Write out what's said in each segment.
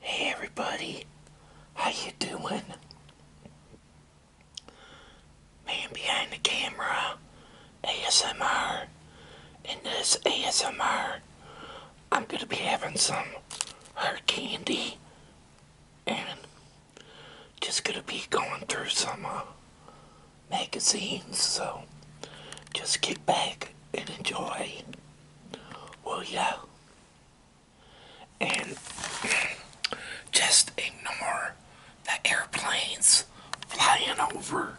Hey everybody, how you doing? Man behind the camera, ASMR. In this ASMR, I'm gonna be having some hard candy and just gonna be going through some uh, magazines, so just kick back and enjoy. Well, yeah, And just ignore the airplanes flying over.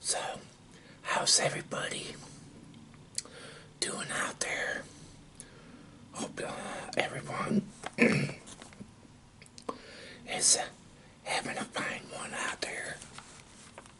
So, how's everybody doing out there? Hope uh, everyone is having a fine one out there.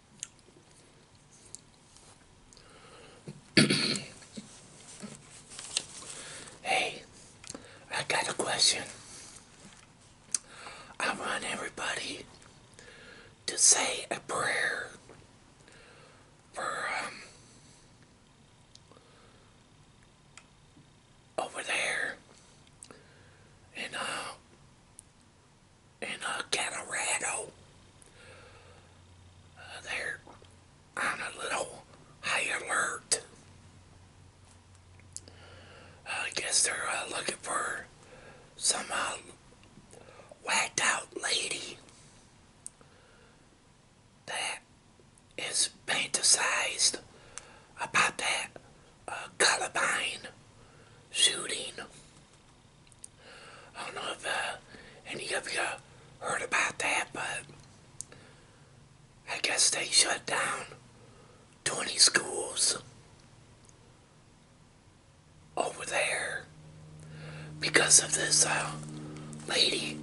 hey, I got a question. I want everybody to say a prayer for um, over there and uh, in uh, Colorado. they're on a little high alert. Uh, I guess they're uh, looking for some uh, whacked out lady that is fantasized about that uh, Columbine shooting. I don't know if uh, any of you heard about that, but I guess they shut down 20 schools over there because of this uh, lady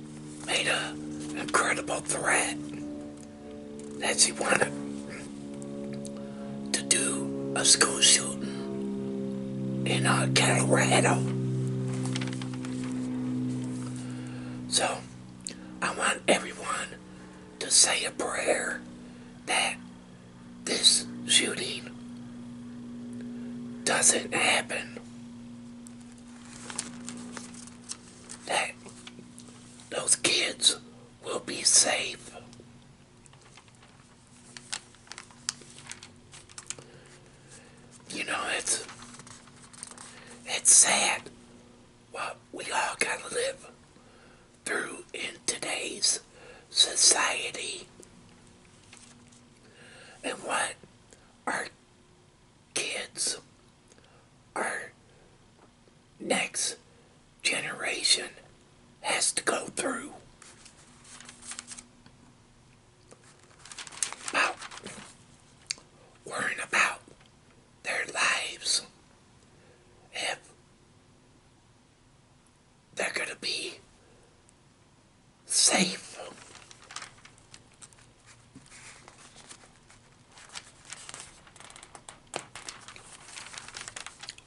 made a incredible threat that she wanted to do a school shooting in uh, Colorado. So, I want everyone to say a prayer that this shooting doesn't happen. That those kids will be safe. You know, it's it's sad what we all gotta live through in today's society and what our kids, are next generation has to go through. About worrying about their lives if they're going to be safe.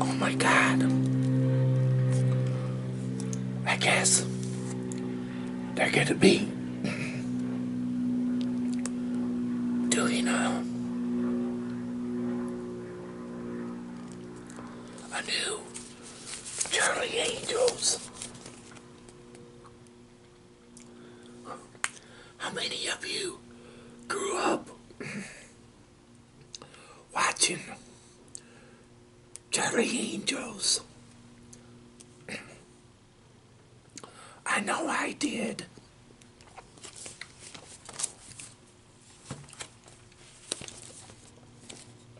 Oh my god. I guess they're gonna be do you uh, know, a new Charlie Angels how many of you grew up watching Jerry Angels? I know I did.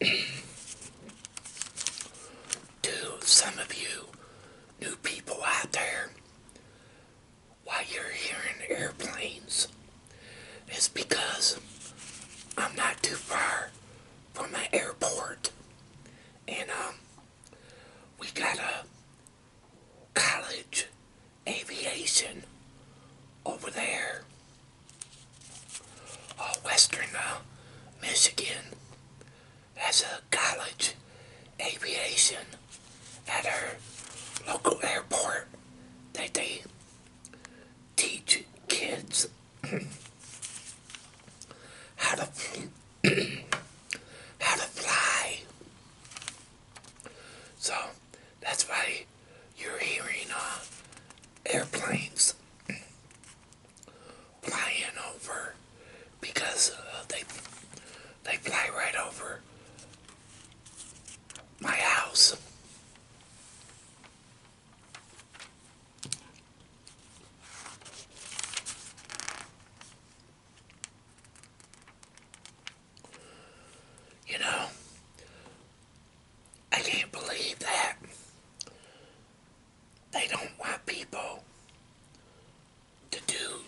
to some of you new people out there why you're hearing airplanes is because I'm not too far from my airport and um we got a college aviation over there. Uh, Western uh, Michigan has a college aviation at her local airport that they teach kids how to how to fly. So that's why you're hearing uh, airplanes flying over because uh, they they fly right over my house. You know, I can't believe that. They don't want people to do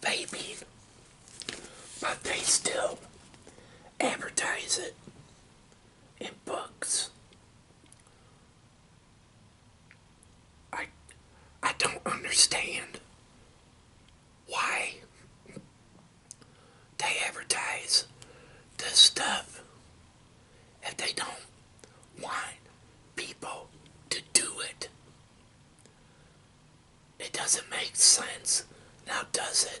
vaping, but they still advertise it in books. I I don't understand why they advertise the stuff if they don't want people to do it. It doesn't make sense now, does it?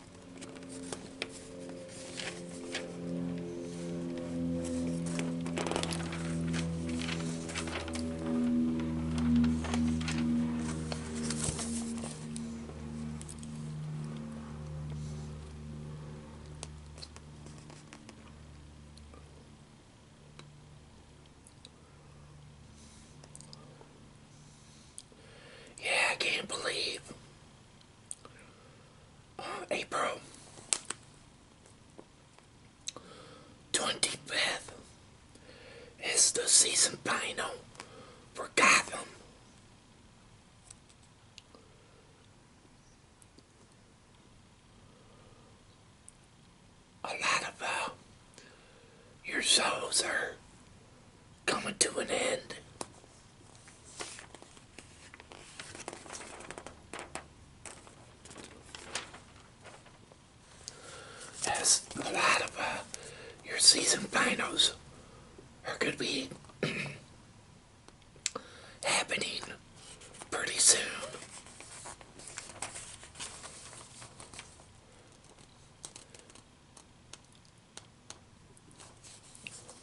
Yeah, I can't believe April 25th is the season final for Gotham. A lot of uh, your shows are coming to an end. As a lot of uh, your season finals are going to be happening pretty soon.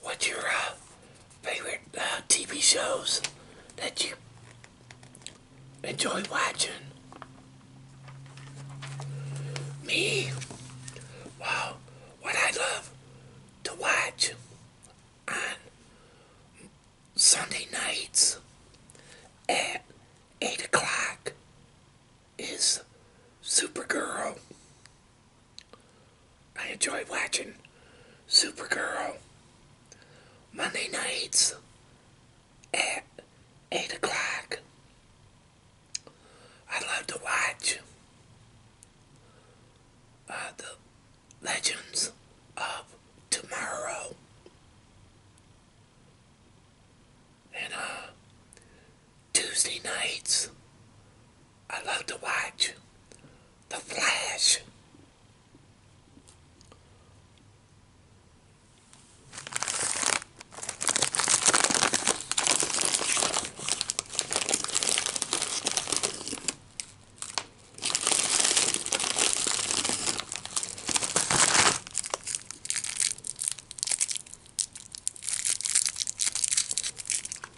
What's your uh, favorite uh, TV shows that you enjoy watching? Me? Well, what I love to watch on Sunday nights at 8 o'clock is Supergirl. I enjoy watching Supergirl Monday nights at 8 o'clock. I love to watch uh, the Legends of Tomorrow. And uh, Tuesday nights, I love to watch The Flash.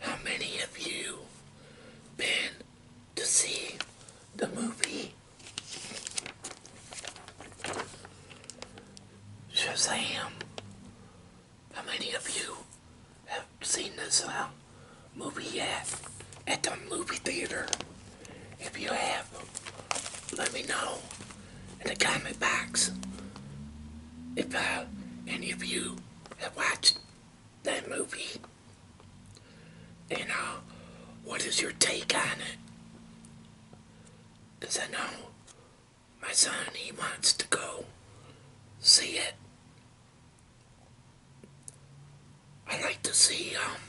How many of you been to see the movie Shazam? How many of you have seen this uh, movie yet at the movie theater? If you have, let me know in the comment box if uh, any of you have watched that movie and uh, what is your take on it. Because I know my son, he wants to go see it. I like to see um,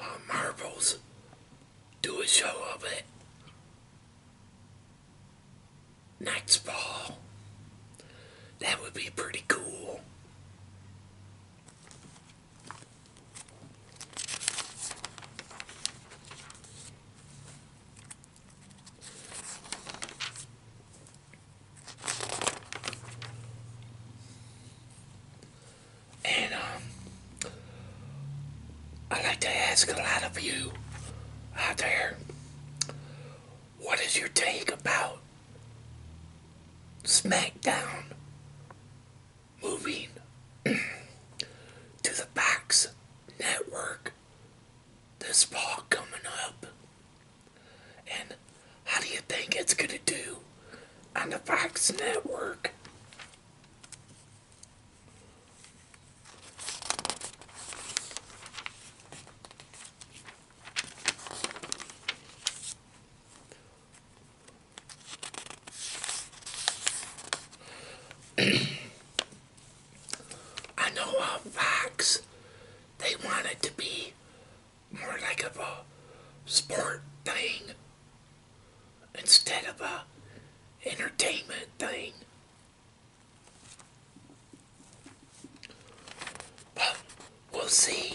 uh, Marvels do a show of it Night's ball. That would be pretty cool. And um, I'd like to ask a lot of you out there, what is your take about SmackDown moving to the Box Network this fall coming up? And how do you think it's going to do on the Fox network? I know on uh, Fox, they want it to be more like of a sport thing instead of a entertainment thing. we'll see.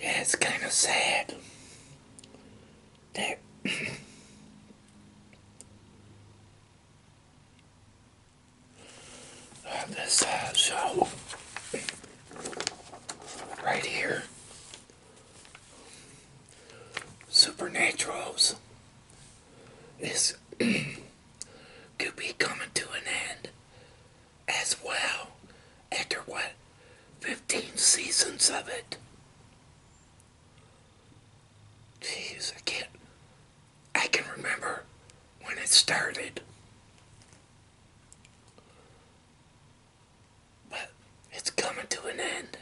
Yeah, it's kind of sad that this uh, show right here. Supernaturals is could be coming to an end as well after what 15 seasons of it. Jeez, I can't I can remember when it started. But it's coming to an end.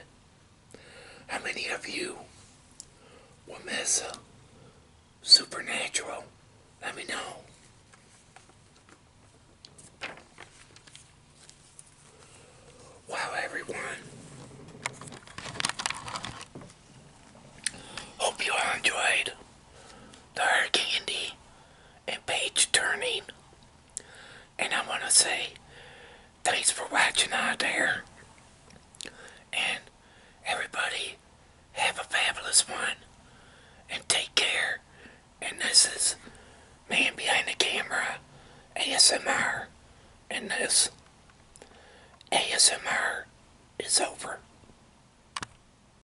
How many of you will miss Supernatural? Let me know. Wow, everyone. Hope you all enjoyed their candy and page turning. And I want to say thanks for watching out there. And everybody have a fabulous one. And take care. And this is Man Behind the Camera ASMR. And this ASMR is over.